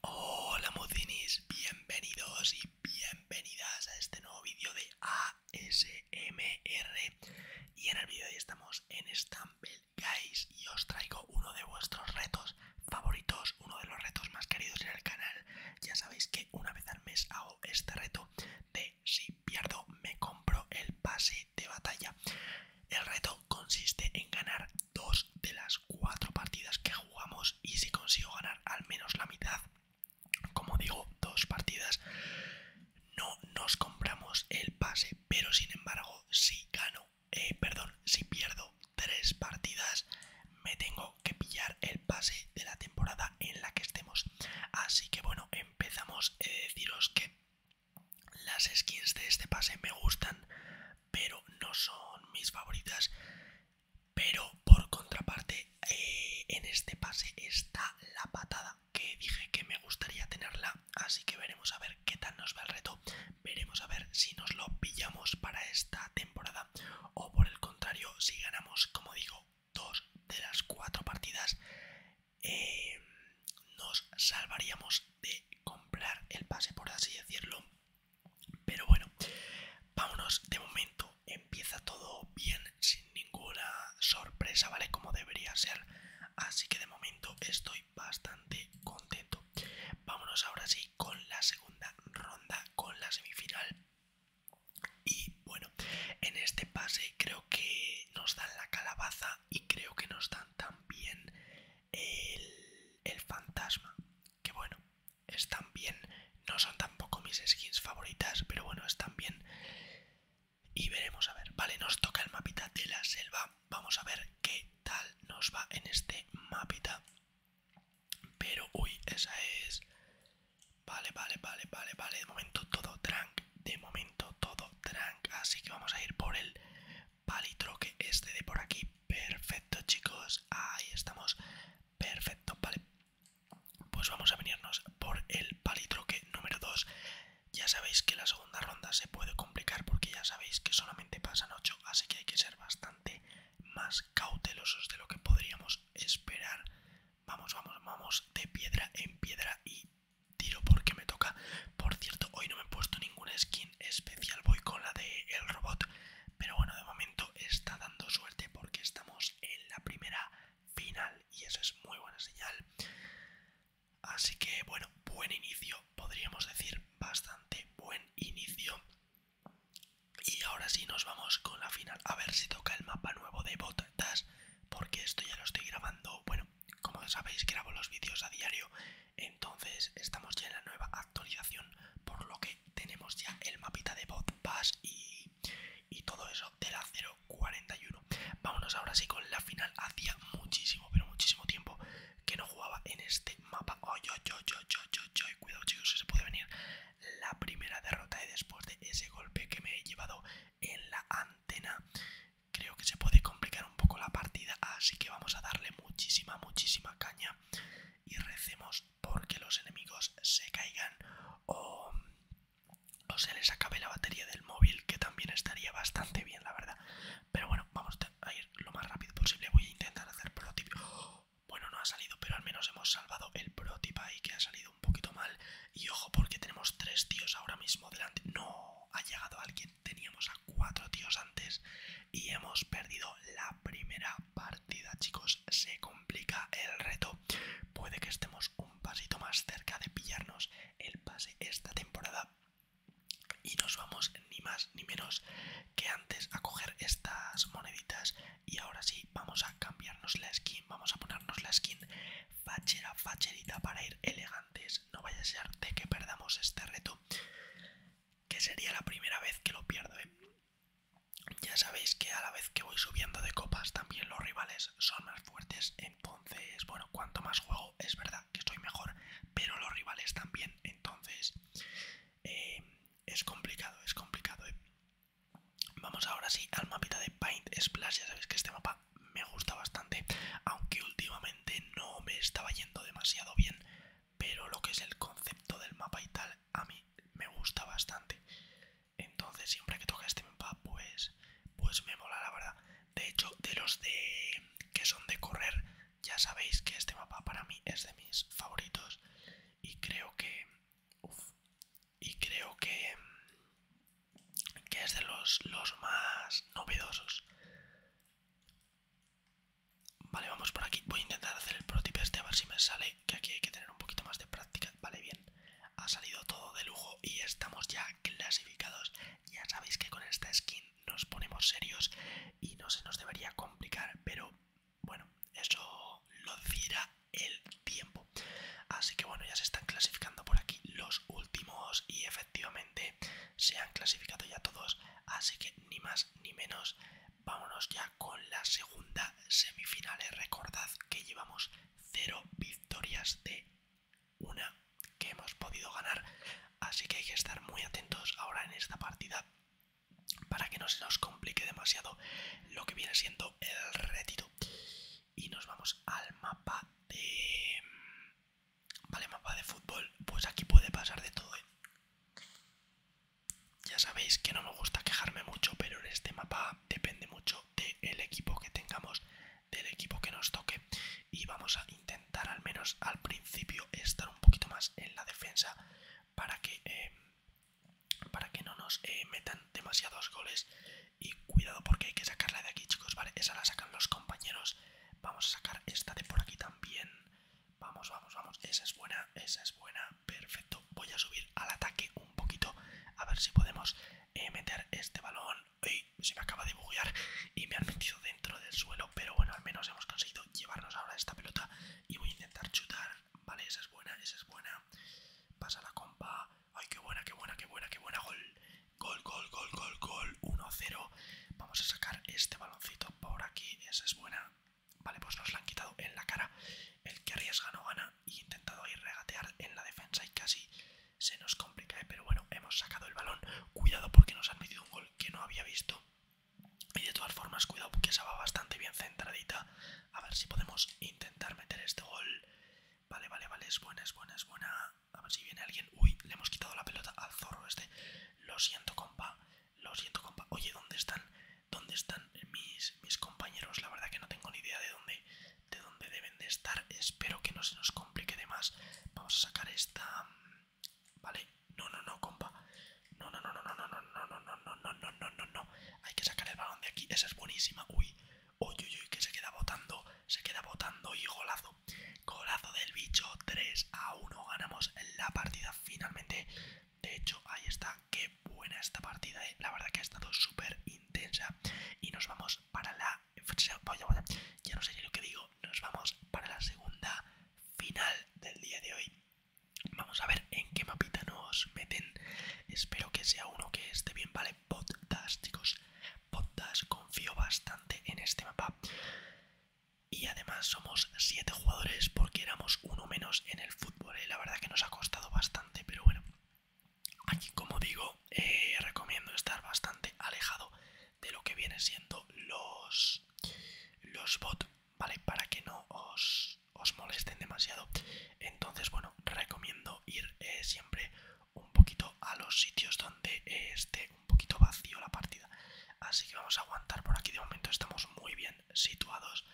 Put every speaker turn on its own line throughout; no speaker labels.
Hola mocinis, bienvenidos y bienvenidas a este nuevo vídeo de ASMR Y en el vídeo de hoy estamos en Stumble Guys y os traigo uno de vuestros retos favoritos Uno de los retos más queridos en el canal Ya sabéis que una vez al mes hago este reto de si pierdo me compro el pase de batalla el reto consiste en ganar dos de las cuatro partidas que jugamos y si consigo ganar al menos la mitad, como digo, dos partidas, no nos compramos el pase, pero sin embargo, si gano, eh, perdón, si pierdo tres partidas, me tengo que pillar el pase de la temporada en la que estemos. Así que bueno, empezamos. a eh, deciros que las skins de este pase me gustan pero no son mis favoritas. Pero por contraparte, eh, en este pase está la patada, que dije que me gustaría tenerla, así que veremos a ver qué tal nos va el reto. Veremos a ver si nos lo pillamos para esta temporada o por el contrario, si ganamos, como digo, dos de las cuatro partidas, eh, nos salvaríamos de comprar el pase, por así decirlo. Pero bueno, vámonos. De momento empieza todo bien, sin ninguna sorpresa, ¿vale? Como debería ser. Así que de momento estoy bastante contento. Vámonos ahora sí con la segunda ronda, con la semifinal. Y bueno, en este pase creo que nos dan la calabaza y creo que nos dan también el, fantasma que bueno, están bien. No son tampoco mis skins favoritas, pero bueno, están bien. Y veremos a ver. Vale, nos toca el mapita de la selva. Vamos a ver qué tal nos va en este mapita. Pero, uy, esa es... Vale, vale, vale, vale, vale. De momento todo drunk, De momento todo drunk Así que vamos a ir por el palitroque este de por aquí. Perfecto chicos, ahí estamos. Perfecto, vale. Pues vamos a venirnos por el palitroque número 2. Ya sabéis que la segunda ronda se puede complicar porque ya sabéis que solamente pasan 8, así que hay que ser bastante más cautelosos de lo que podríamos esperar. Vamos, vamos, vamos de piedra en piedra y tiro porque me toca. Por cierto, hoy no me he puesto ninguna skin especial, voy con la del el robot pero bueno, de momento está dando suerte porque estamos en la primera final y eso es muy buena señal. Así que bueno, buen inicio, podríamos decir bastante buen inicio. Y ahora sí nos vamos con la final. A ver si toca el mapa nuevo de Botas, porque esto ya lo estoy grabando. Bueno, como sabéis, grabo los vídeos a diario entonces estamos ya en la nueva actualización, por lo que tenemos ya el mapita de Bot y, y todo eso de la 041. Vámonos ahora sí con la final. Hacía muchísimo, pero muchísimo tiempo que no jugaba en este mapa. yo, yo, yo, yo, Cuidado chicos, se puede venir la primera derrota y después de ese golpe que me he llevado en la antena creo que se puede complicar un poco la partida así que vamos a darle muchísima muchísima caña y recemos porque los enemigos se caigan o, se les acabe la batería del móvil, que también estaría bastante bien, la verdad. Pero bueno, vamos a ir lo más rápido posible. Voy a intentar hacer protip. Bueno, no ha salido, pero al menos hemos salvado el protip ahí que ha salido un poquito mal. Y ojo, porque tenemos tres tíos ahora mismo delante. No, ha llegado alguien. Teníamos a cuatro tíos antes y hemos perdido la primera partida, chicos, se complica el reto. Puede que estemos un pasito más cerca de pillarnos el pase esta temporada. Y nos vamos ni más ni menos que antes a coger estas moneditas. Y ahora sí, vamos a cambiarnos la skin. Vamos a ponernos la skin fachera, facherita para ir elegantes. No vaya a ser de que perdamos este reto. Que sería la primera vez que lo pierdo, ¿eh? Ya sabéis que a la vez que voy subiendo de copas también los rivales son más fuertes, entonces, bueno, cuanto más juego es verdad que estoy mejor, pero los rivales también, entonces eh, es complicado, es complicado. ¿eh? Vamos ahora sí al mapita de Paint Splash, ya sabéis que este mapa me gusta bastante, aunque últimamente no me estaba yendo demasiado bien, pero lo que es el concepto del mapa y tal a mí me gusta bastante entonces siempre que toca este mapa pues pues me mola la verdad de hecho de los de que son de correr ya sabéis que este mapa para mí es de mis favoritos y creo que y creo que que es de los, los más novedosos Vale, vamos por aquí. Voy a intentar hacer el protip este a ver si me sale, que aquí hay que tener un poquito más de práctica. Vale, bien. Ha salido todo de lujo y estamos ya clasificados. Ya sabéis que con esta skin nos ponemos serios y no se nos debería complicar, pero bueno, eso lo dirá el tiempo. Así que bueno, ya se están clasificando por aquí los últimos y efectivamente se han clasificado ya todos. Así que ni más ni menos Vámonos ya con la segunda semifinal. Eh. Recordad que llevamos 0 victorias de una que hemos podido ganar. Así que hay que estar muy atentos ahora en esta partida para que no se nos complique demasiado lo que viene siendo el retiro. Y nos vamos al mapa de... Vale, mapa de fútbol. Pues aquí puede pasar de todo. Eh. Ya sabéis que no me gusta quejarme mucho, pero en este mapa depende mucho del equipo que tengamos, del equipo que nos toque. Y vamos a intentar al menos al principio estar un poquito más en la defensa para que, em, para que no nos eh, metan demasiados goles. Y cuidado porque hay que sacarla de aquí, chicos, ¿vale? Esa la sacan los compañeros. Vamos a sacar esta de por aquí también. Vamos, vamos, vamos. Esa es buena, esa es buena. Perfecto. Voy a subir al ataque un poquito. A ver si podemos eh, meter este balón. ay, se me acaba de buguear y me han metido dentro del suelo. Pero bueno, al menos hemos conseguido llevarnos ahora esta pelota. Y voy a intentar chutar. Vale, esa es buena, esa es buena. Pasa la compa. Ay, qué buena, qué buena, qué buena, qué buena. Gol, gol, gol, gol, gol, gol. 1-0. Vamos a sacar este baloncito por aquí. Esa es buena. Vale, pues nos la han quitado en la cara. El que arriesga no gana y intentado ahí regatear en la defensa y casi se nos complica, pero bueno, hemos sacado el balón. Cuidado porque nos han metido un gol que no había visto. Y de todas formas, cuidado porque esa va bastante bien centradita. A ver si podemos intentar meter este gol. Vale, vale, vale, es buena, es buena, es buena. A ver si viene alguien. Uy, le hemos quitado la pelota al zorro este. Lo siento, compa. Lo siento, compa. Oye, ¿dónde están dónde están mis, mis compañeros. La verdad que no tengo ni idea de dónde, de dónde deben de estar. Espero que no se nos complique de más. Vamos a sacar esta... Vale. No, no, no, compa. No, no, no, no, no, no, no, no, no, no, no, no, no, no, no, Hay que sacar el balón de aquí. Esa es buenísima. Uy, uy, uy, uy, que se queda botando. Se queda botando y golazo. Golazo del bicho. 3 a 1. Ganamos la partida finalmente. De hecho, ahí está. Qué buena esta partida, eh. La verdad que ha estado súper intensa. Y nos vamos para la... Ya no sé ni lo que digo. Nos vamos para la segunda final del día de hoy. Vamos a ver en qué mapita nos meten. Espero que sea uno que esté bien, ¿vale? das, chicos. potdas confío bastante en este mapa. Y además somos 7 jugadores porque éramos uno menos en el fútbol vale eh, la verdad que nos ha costado bastante, pero bueno, aquí como digo, eh, recomiendo estar bastante alejado de lo que viene siendo los, los bots, ¿vale? Para que no os, molesten demasiado. Entonces, bueno, recomiendo ir eh, siempre un poquito a los sitios donde esté un poquito vacío la partida. Así que vamos a aguantar por aquí, de momento estamos muy bien situados.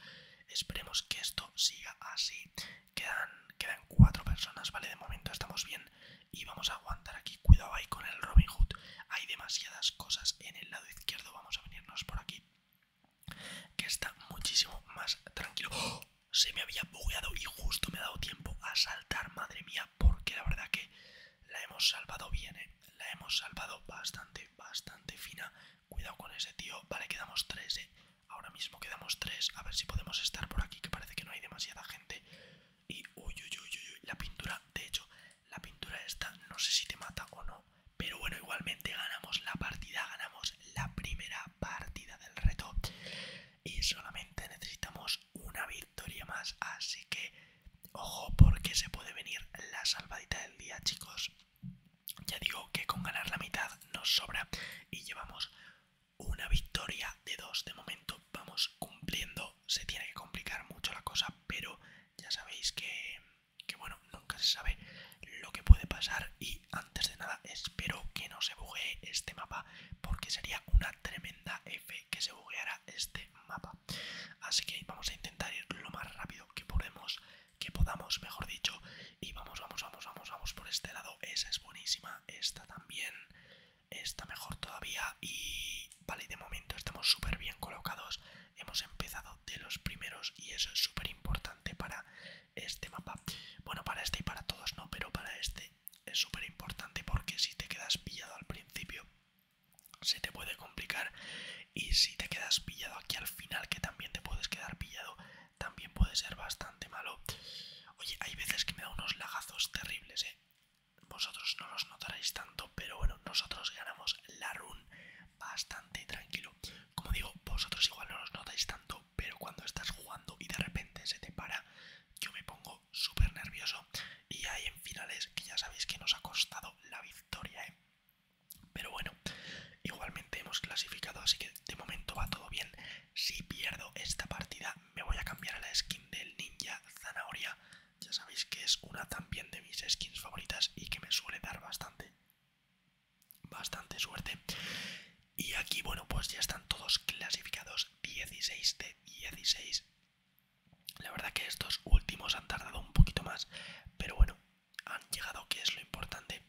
Esperemos que esto siga así. Quedan, quedan cuatro personas, ¿vale? De momento estamos bien y vamos a aguantar aquí. Cuidado ahí con el Robin Hood. Hay demasiadas cosas en el lado izquierdo. Vamos a venirnos por aquí. Que está muchísimo más tranquilo. ¡Oh! Se me había bugueado y justo me ha dado tiempo a saltar, madre mía, porque la verdad que la hemos salvado bien, ¿eh? La hemos salvado bastante, bastante fina. Cuidado con ese tío. Vale, quedamos tres, eh. Ahora mismo quedamos tres. A ver si podemos estar por aquí, que parece que no hay demasiada gente. Y uy, uy, uy, uy, la pintura. De hecho, la pintura esta no sé si te mata o no. Pero bueno, igualmente ganamos la partida. Ganamos la primera partida del reto. Y solamente necesitamos una victoria más. Así que, ojo, porque se puede venir la salvadita del día, chicos. Ya digo que con ganar la mitad nos sobra y llevamos una victoria de dos. De momento vamos cumpliendo. Se tiene que complicar mucho la cosa, pero ya sabéis que, bueno, nunca se sabe lo que puede pasar. Y antes de nada, espero que no se buguee este mapa, porque sería una tremenda F que se bugueara este mapa. Así que vamos a intentar ir lo más rápido que podemos que podamos, mejor dicho. Y vamos, vamos, vamos, vamos, vamos por este lado. Esa es buenísima, esta también, está mejor todavía. Y vale, de momento estamos súper bien colocados. Hemos empezado de los primeros y eso es súper importante para este mapa. Bueno, para este y para todos no, pero para este es súper importante porque si te quedas pillado al principio se te puede complicar y si te quedas pillado aquí al final que también te puedes quedar pillado también puede ser bastante malo. Oye, hay veces que me da unos lagazos terribles, ¿eh? Vosotros no los notaréis tanto, pero bueno, nosotros ganamos la run bastante tranquilo. Como digo, vosotros igual no los notáis tanto, pero cuando estás jugando y de repente se te para, yo me pongo súper nervioso. Y hay en finales que ya sabéis que nos ha costado la victoria, ¿eh? Pero bueno, igualmente hemos clasificado, así que de momento va todo bien. Si pierdo esta partida, me voy a cambiar a la skin del ninja zanahoria. Ya sabéis que es una también de mis skins favoritas y que me suele dar bastante, bastante suerte. Y aquí, bueno, pues ya están todos clasificados 16 de 16. La verdad que estos últimos han tardado un poquito más, pero bueno, han llegado, que es lo importante.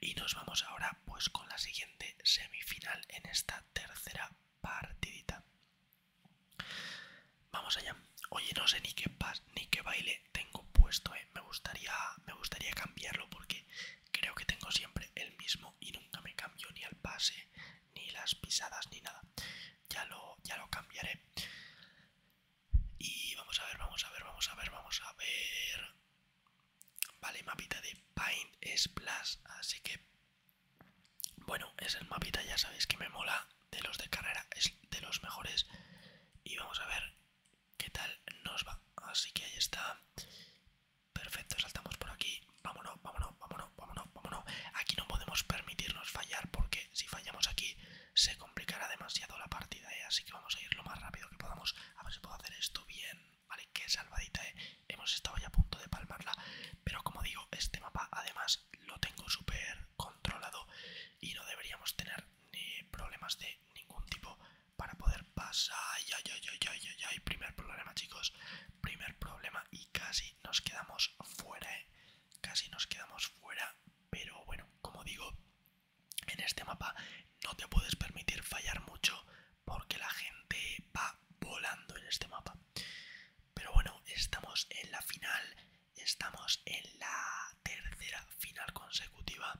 Y nos vamos ahora pues con la siguiente semifinal en esta tercera partidita. Vamos allá. Oye, no sé ni qué pas ni qué baile tengo puesto, eh. me gustaría me gustaría cambiarlo porque creo que tengo siempre el mismo y nunca me cambio ni el pase, ni las pisadas, ni nada. Ya lo ya lo cambiaré. Y vamos a ver, vamos a ver, vamos a ver, vamos a ver. Vale, mapita de Paint Splash, así que... Bueno, es el mapita, ya sabéis que me mola, de los de carrera, es de los mejores. Y vamos a ver qué tal nos va. Así que ahí está. Perfecto, saltamos por aquí. Vámonos, vámonos, vámonos, vámonos, vámonos. Aquí no podemos permitirnos fallar porque si fallamos aquí se complicará demasiado la partida, ¿eh? así que vamos a ir lo más rápido que podamos. A ver si puedo hacer esto bien. Vale, qué salvadita, ¿eh? Hemos estado ya a punto de palmarla. Pero como digo, este mapa además lo tengo súper controlado y no deberíamos tener problemas de ningún tipo para poder pasar. ya ya ay, ay, ay, ay, Primer problema, chicos. Primer problema y casi nos quedamos fuera, ¿eh? Casi nos quedamos fuera. Pero bueno, como digo, en este mapa no te puedes permitir fallar mucho porque la gente va volando en este mapa. Pero bueno, estamos en la final, estamos en la tercera final consecutiva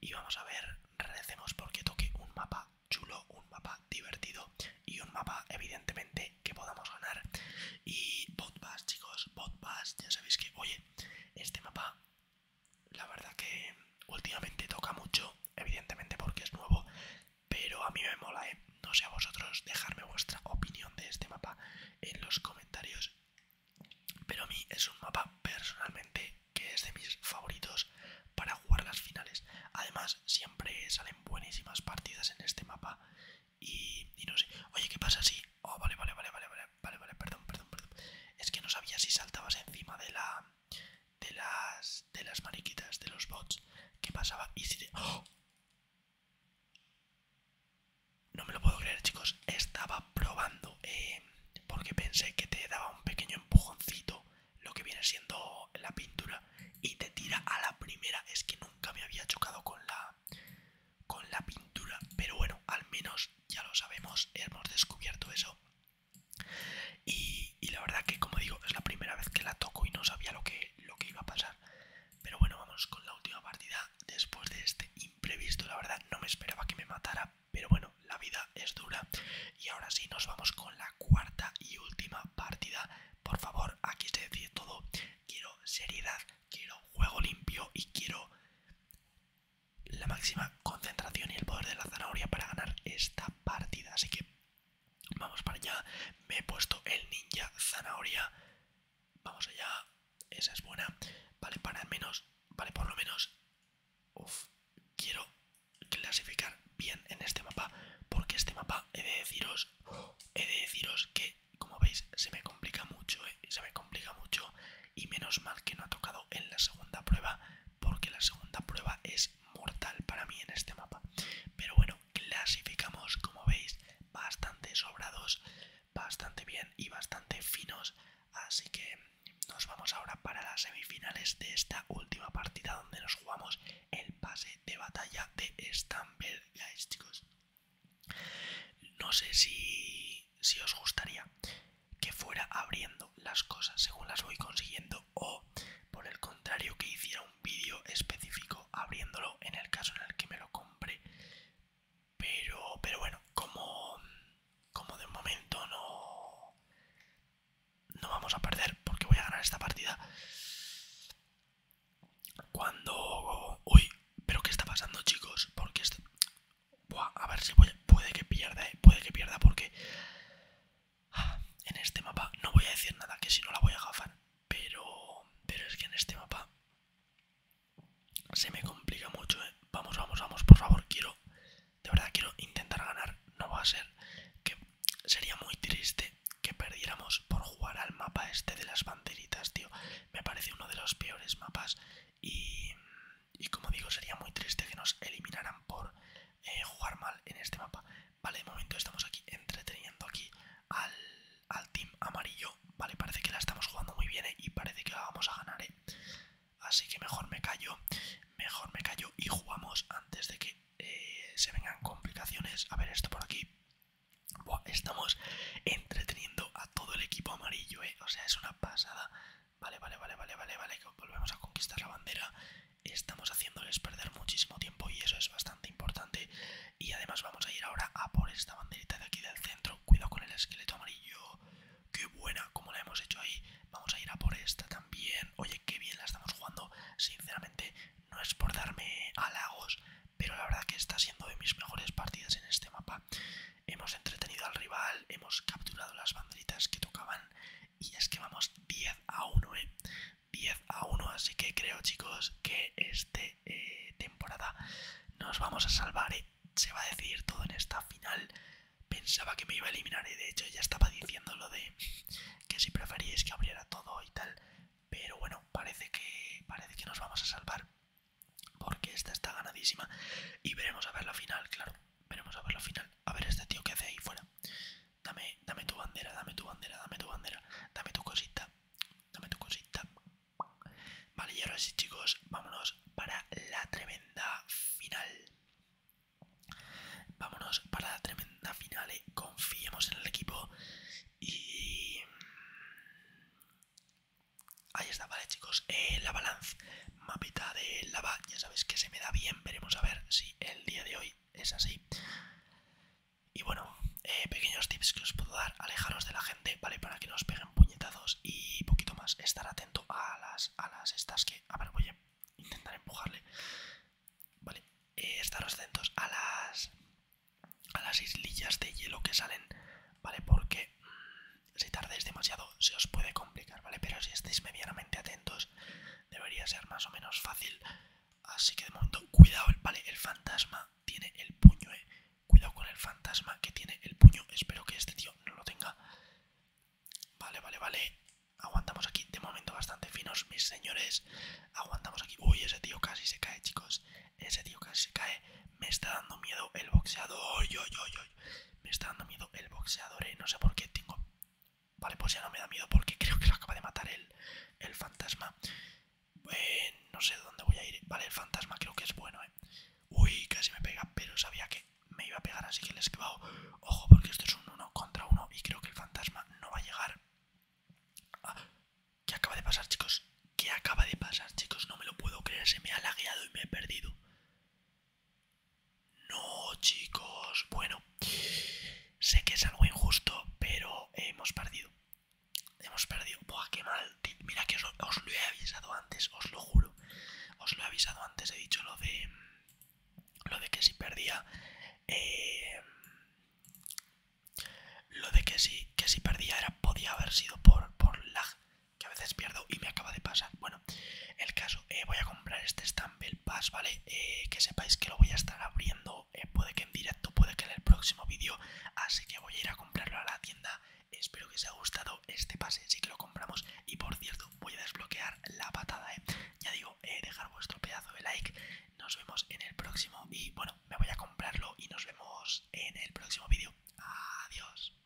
y vamos a ver, recemos porque toque un mapa chulo, un mapa divertido y un mapa evidentemente que podamos ganar. Y Botbass, chicos, Botbass, ya sabéis que, oye, este mapa la verdad que últimamente toca mucho, evidentemente porque es nuevo, pero a mí me mola, ¿eh? no sé a vosotros, dejarme vuestra opinión de este mapa en los comentarios. Pero a mí es un mapa personalmente que es de mis favoritos para jugar las finales. Además, siempre salen buenísimas partidas en este mapa. Y, no sé. Oye, ¿qué pasa así oh, vale, vale, vale, vale, vale, vale, perdón, perdón, perdón. Es que no sabía si saltabas encima de la. de las. de las mariquitas, de los bots. que pasaba? Y si te. ¡Oh! No me lo puedo creer, chicos. Estaba probando. Eh, porque pensé que te daba un pequeño empujoncito. Lo que viene siendo la pintura. Y te tira a la primera. Es que nunca me había chocado con la con la pintura. Pero bueno, al menos ya lo sabemos, hemos descubierto eso. Y, la verdad que, como digo, es la primera vez que la toco y no sabía lo que, lo que iba a pasar. Pero bueno, vamos con la última partida después de este imprevisto. La verdad no me esperaba que me matara, pero bueno, la vida es dura. Y ahora sí, nos vamos con la cuarta y última partida. Por favor, aquí se decide todo. Quiero seriedad, quiero juego limpio y quiero la máxima concentración y el poder de la zanahoria para ganar esta partida. Así que vamos para allá. Me he puesto el ninja zanahoria. Vamos allá. Esa es buena. Vale, para al menos. Vale, por lo menos. quiero clasificar bien en este mapa. Porque este mapa he de deciros. He de deciros que, como veis, se me complica mucho, eh, Se me complica mucho y menos mal que no ha tocado en la segunda prueba porque la segunda prueba es mortal para mí en este mapa. Pero bueno, clasificamos como veis bastante sobrados, bastante bien y bastante finos, así que nos vamos ahora para las semifinales de esta última partida donde nos jugamos el pase de batalla de Stamberg, guys, chicos. No sé si, si os gustaría que fuera abriendo las cosas según las voy consiguiendo o por el contrario que hiciera un vídeo específico abriéndolo en el caso en el que me lo compré pero pero bueno como como de momento no no vamos a perder porque voy a ganar esta partida cuando uy pero qué está pasando chicos porque esto a ver si puede que pierda, eh, puede que pierda porque ah, en este mapa no voy a decir nada que si no la voy a gafar, pero, pero es que en este mapa se me complica mucho, eh. Vamos, vamos, vamos, por favor, quiero, de verdad quiero intentar ganar, no va a ser que sería muy triste que perdiéramos por jugar al mapa este de las banderitas, tío. Me parece uno de los peores mapas y y como digo, sería muy triste que nos eliminaran por eh, jugar mal en este mapa. Vale, de momento estamos aquí entreteniendo aquí al, team amarillo. Vale, parece que la estamos jugando muy bien eh, y parece que la vamos a ganar. Eh. Así que mejor me callo, mejor me callo y jugamos antes de que se vengan complicaciones. A ver esto por aquí. estamos entreteniendo a todo el equipo amarillo, O sea, es una pasada. Vale, vale, vale, vale, vale, vale, que volvemos a conquistar la bandera. Estamos haciéndoles perder muchísimo tiempo y eso es bastante importante. Y además vamos a ir ahora a por esta banderita de aquí del centro. Cuidado con el esqueleto amarillo. Qué buena, como la hemos hecho ahí. Vamos a ir a por esta también. Oye, qué bien la estamos jugando. Sinceramente, no es por darme halagos, pero la verdad que está siendo de mis mejores partidas en este mapa hemos entretenido al rival, hemos capturado las banderitas que tocaban y es que vamos 10 a 1, ¿eh? 10 a 1, así que creo chicos que esta eh, temporada nos vamos a salvar, ¿eh? se va a decidir todo en esta final. Pensaba que me iba a eliminar ¿eh? de hecho ya estaba diciendo lo de que si preferís que abriera todo y tal. Pero bueno, parece que, parece que nos vamos a salvar porque esta está ganadísima y veremos a ver la final, claro veremos a ver la final. A ver este tío que hace ahí fuera. Dame, dame tu bandera, dame tu bandera, dame tu bandera, dame tu cosita, dame tu cosita. Vale, y ahora sí chicos, vámonos para la tremenda final. Vámonos para la tremenda final, eh. confiemos en el equipo y... Ahí está, vale chicos, eh, la balance, mapita de lava, ya sabéis que se me da bien, veremos a ver si el día de hoy es así. Y bueno, eh, pequeños tips que os puedo dar, alejaros de la gente, ¿vale? Para que no os peguen puñetazos y poquito más, estar atento a las, a las estas que... A ver, voy a intentar empujarle. Vale, eh, estaros atentos a las, a las islillas de hielo que salen, ¿vale? Porque... Mm, si tardáis demasiado se os puede complicar, ¿vale? Pero si estáis medianamente atentos debería ser más o menos fácil. Así que de momento, cuidado, ¿vale? El fantasma tiene el puño, ¿eh? Cuidado con el fantasma que tiene el puño. Espero que este tío no lo tenga. Vale, vale, vale. Aguantamos aquí de momento bastante finos, mis señores. Aguantamos aquí. Uy, ese tío casi se cae, chicos. Ese tío casi se cae. Me está dando miedo el boxeador. Yo, yo, yo, me está dando miedo el boxeador, eh. No sé por qué tengo... Vale, pues ya no me da miedo porque creo que lo acaba de matar el, fantasma. no sé dónde voy a ir. Vale, el fantasma creo que es bueno, ¿eh? Uy, casi me pega, pero sabía que me iba a pegar, así que le he esquivado. Ojo, porque esto es un uno contra uno y creo que el fantasma no va a llegar. Ah, ¿Qué acaba de pasar, chicos? ¿Qué acaba de pasar, chicos? No me lo puedo creer, se me ha lagueado y me he perdido. No, chicos. Bueno, sé que es algo injusto, pero hemos perdido. Hemos perdido. Buah, qué mal. Mira que os, lo he avisado antes, os lo juro. Os lo he avisado antes, he dicho lo de... Lo de que si perdía... Eh, lo de que si, que si perdía era, podía haber sido por, por lag que a veces pierdo y me acaba de pasar. Bueno, el caso, eh, voy a comprar este Stumble Pass, ¿vale? Eh, que sepáis que lo voy a estar abriendo, eh, puede que en directo, puede que en el próximo vídeo, así que voy a ir a comprarlo a la tienda. Espero que os haya gustado este pase, sí que lo compramos. Y por cierto, voy a desbloquear la patada, ¿eh? Ya digo, dejar vuestro pedazo de like. Nos vemos en el próximo y bueno, me voy a comprarlo y nos vemos en el próximo vídeo. Adiós.